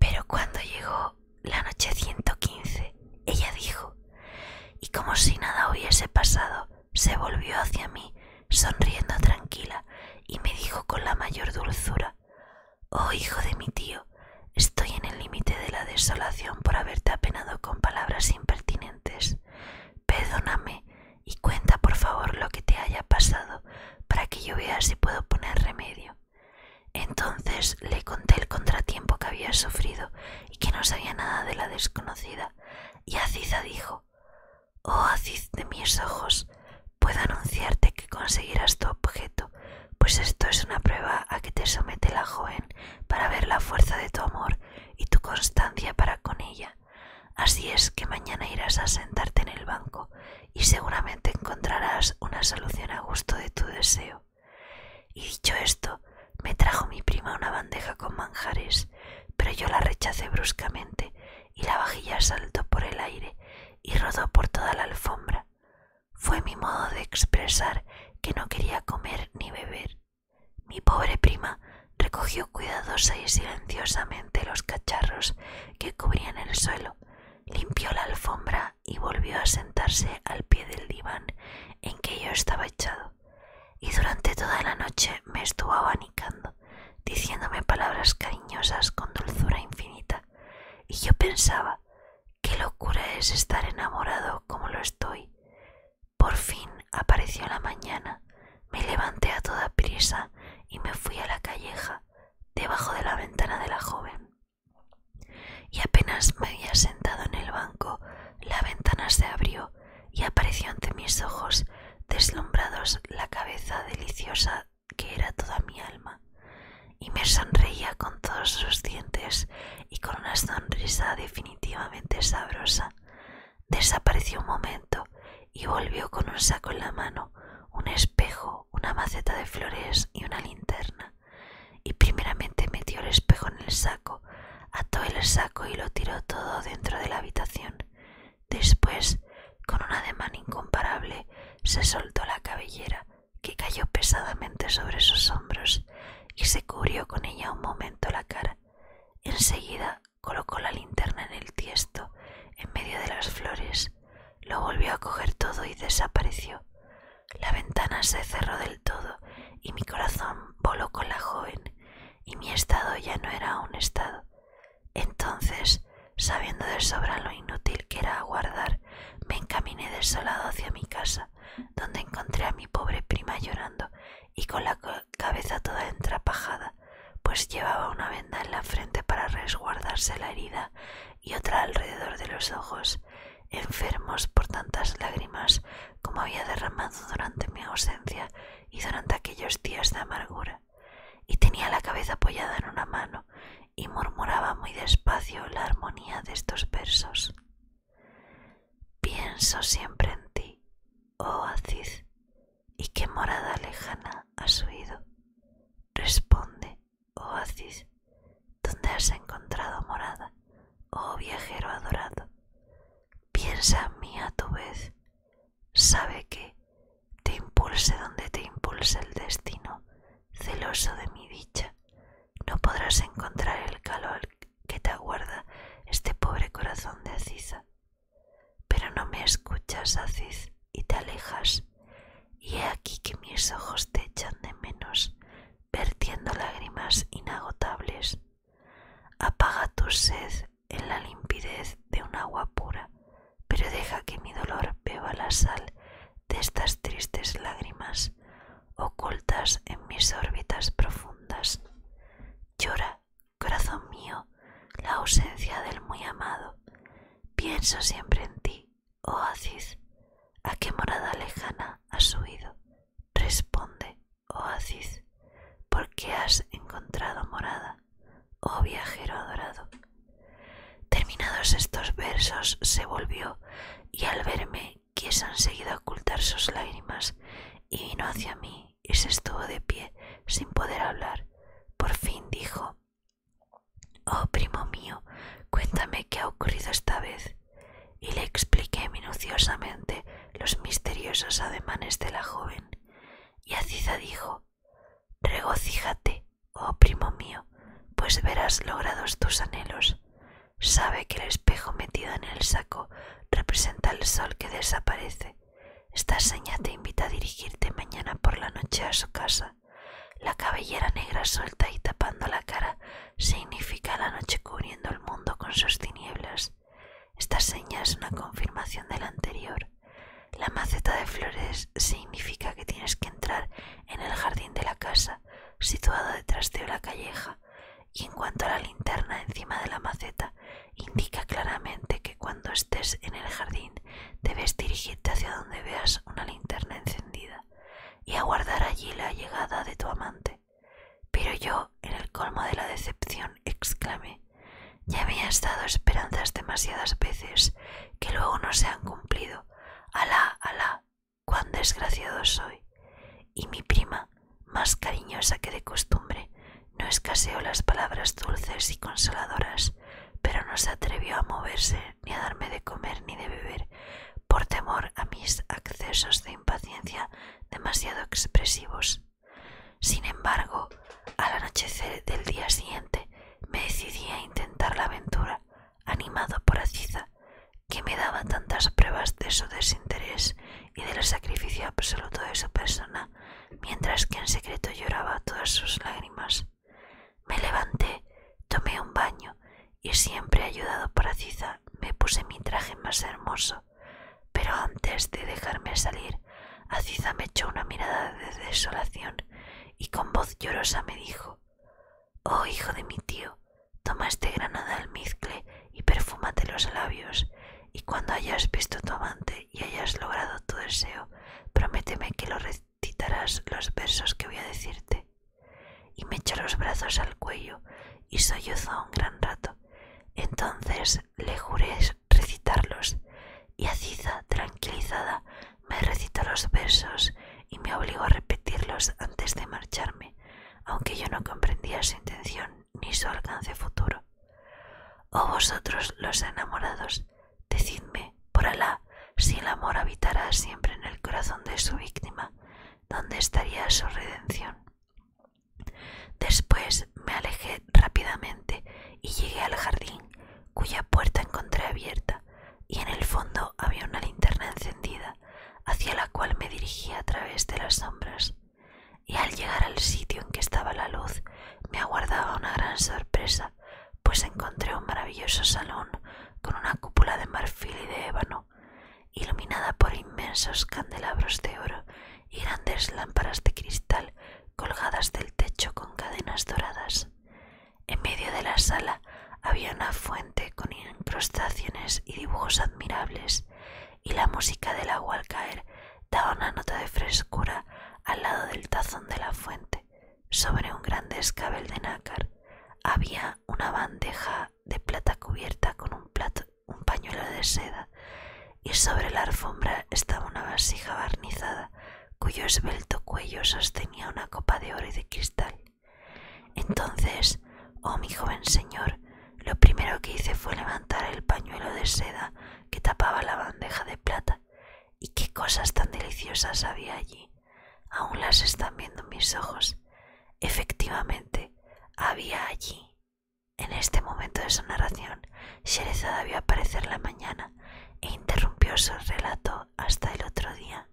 Pero cuando llegó la noche 115, ella dijo, y como si nada hubiese pasado, se volvió hacia mí, sonriendo tranquila, y me dijo con la mayor dulzura, Oh hijo de mi tío, estoy en el límite de la desolación por haberte apenado con palabras impertinentes. Perdóname y cuenta por favor lo que te haya pasado para que yo vea si puedo poner remedio. Entonces le conté el contratiempo que había sufrido y que no sabía nada de la desconocida, y Aziza dijo Oh Aziz de mis ojos, Puedo anunciarte que conseguirás tu objeto, pues esto es una prueba a que te somete la joven para ver la fuerza de tu amor y tu constancia para con ella. Así es que mañana irás a sentarte en el banco y seguramente encontrarás una solución a gusto de tu deseo. Y dicho esto, me trajo mi prima una bandeja con manjares, pero yo la rechacé bruscamente y la vajilla saltó por el aire y rodó por toda la alfombra. Fue mi modo de expresar que no quería comer ni beber. Mi pobre prima recogió cuidadosa y silenciosamente los cacharros que cubrían el suelo, limpió la alfombra y volvió a sentarse al pie del diván en que yo estaba echado, y durante toda la noche me estuvo abanicando diciéndome palabras cariñosas con dulzura infinita, y yo pensaba, qué locura es estar enamorado como lo estoy. Por fin apareció la mañana, me levanté a toda prisa y me fui a la calleja, debajo de la ventana de la joven. Y apenas me había sentado en el banco, la ventana se abrió y apareció ante mis ojos deslumbrados la cabeza deliciosa que era toda mi alma, y me sonreía con todos sus dientes y con una sonrisa definitivamente sabrosa. Desapareció un momento y volvió con un saco en la mano, un espejo, una maceta de flores y una linterna. Y primeramente metió el espejo en el saco, ató el saco y lo tiró todo dentro de la habitación. Después, con un ademán incomparable, se soltó la cabellera, que cayó pesadamente sobre sus hombros, y se cubrió con ella un momento la cara. Enseguida colocó la linterna en el tiesto, en medio de las flores, lo volvió a coger todo y desapareció. La ventana se cerró del todo y mi corazón voló con la joven, y mi estado ya no era un estado. Entonces, sabiendo de sobra lo inútil que era aguardar, me encaminé desolado hacia mi casa, donde encontré a mi pobre prima llorando y con la cabeza toda entrapajada, pues llevaba una venda en la frente para resguardarse la herida y otra alrededor de los ojos, enfermos por tantas lágrimas como había derramado durante mi ausencia y durante aquellos días de amargura, y tenía la cabeza apoyada en una mano y murmuraba muy despacio la armonía de estos versos. Pienso siempre en ti, oh Aziz, y qué morada lejana has oído. Responde, oh Aziz, ¿dónde has encontrado morada, oh viajero adorado? Piensa en mí a tu vez, sabe que, te impulse donde te impulse el destino, celoso de mi dicha, no podrás encontrar el calor que te aguarda este pobre corazón de aciza. Pero no me escuchas, Aziz, y te alejas, y he aquí que mis ojos te echan de menos, vertiendo lágrimas inagotables. Apaga tu sed en la limpidez de un agua pura, pero deja que mi dolor beba la sal de estas tristes lágrimas ocultas en mis órbitas profundas. Llora, corazón mío, la ausencia del muy amado. Pienso siempre en ti, oh Aziz, a qué morada lejana has huido, Responde, oh Aziz, ¿por has encontrado morada, oh viajero adorado? Terminados estos versos, se volvió y al verme quiso enseguida ocultar sus lágrimas y vino hacia mí y se estuvo de pie sin poder hablar. Por fin dijo, Oh primo mío, cuéntame qué ha ocurrido esta vez y le expliqué minuciosamente los misteriosos ademanes de la joven, y Aziza dijo Regocíjate, oh primo mío, pues verás logrados tus anhelos. Sabe que el espejo metido en el saco representa el sol que desaparece. Esta seña te invita a dirigirte mañana por la noche a su casa. La cabellera negra suelta y tapando la cara significa la noche cubriendo el mundo con sus tinieblas. Esta seña es una confirmación de la anterior. La maceta de flores significa que tienes que entrar en el jardín de la casa, situado detrás de la calleja, y en cuanto a la linterna encima de la maceta, indica claramente que cuando estés en el jardín debes dirigirte hacia donde veas una linterna encendida y aguardar allí la llegada de tu amante. Pero yo, en el colmo de la decepción, exclamé Ya me estado dado esperanzas demasiadas veces que luego no se han cumplido. Alá, alá, cuán desgraciado soy. Y mi prima, más cariñosa que de costumbre, no escaseó las palabras dulces y consoladoras, pero no se atrevió a moverse, ni a darme de comer ni de beber, por temor a mis accesos de impaciencia demasiado expresivos. Sin embargo, al anochecer del día siguiente me decidí a intentar la aventura, animado por Aciza, que me daba tantas pruebas de su desinterés y del sacrificio absoluto de su persona, mientras que en secreto lloraba todas sus lágrimas. Me levanté, tomé un baño y siempre ayudado por Ciza, me puse mi traje más hermoso, pero antes de dejarme salir, Aziza me echó una mirada de desolación y con voz llorosa me dijo Oh hijo de mi tío, toma este grano de almizcle y perfúmate los labios, y cuando hayas visto tu amante y hayas logrado tu deseo, prométeme que lo recitarás los versos que voy a decirte y me echó los brazos al cuello y sollozó un gran rato. Entonces le juré recitarlos y Aziza, tranquilizada, me recitó los versos y me obligó a repetirlos antes de marcharme, aunque yo no comprendía su intención ni su alcance futuro. Oh vosotros los enamorados, decidme, por Alá, si el amor habitará siempre en el corazón de su víctima dónde estaría su redención. Después me alejé rápidamente y llegué al jardín, cuya puerta encontré abierta, y en el fondo había una linterna encendida, hacia la cual me dirigía a través de las sombras. Y al llegar al sitio en que estaba la luz, me aguardaba una gran sorpresa, pues encontré un maravilloso salón con una cúpula de marfil y de ébano, iluminada por inmensos candelabros de oro y grandes lámparas de cristal colgadas del techo con cadenas doradas. En medio de la sala había una fuente con incrustaciones y dibujos admirables, y la música del agua al caer daba una nota de frescura al lado del tazón de la fuente, sobre un grande escabel de nácar, había una bandeja de plata cubierta con un, un pañuelo de seda y sobre la alfombra estaba una vasija barnizada cuyo esbelto cuello sostenía una copa de oro y de cristal. Entonces, oh mi joven señor, lo primero que hice fue levantar el pañuelo de seda que tapaba la bandeja de plata, y qué cosas tan deliciosas había allí, Aún las están viendo mis ojos. Efectivamente, había allí. En este momento de su narración, Sherezada vio aparecer la mañana e interrumpió su relato hasta el otro día.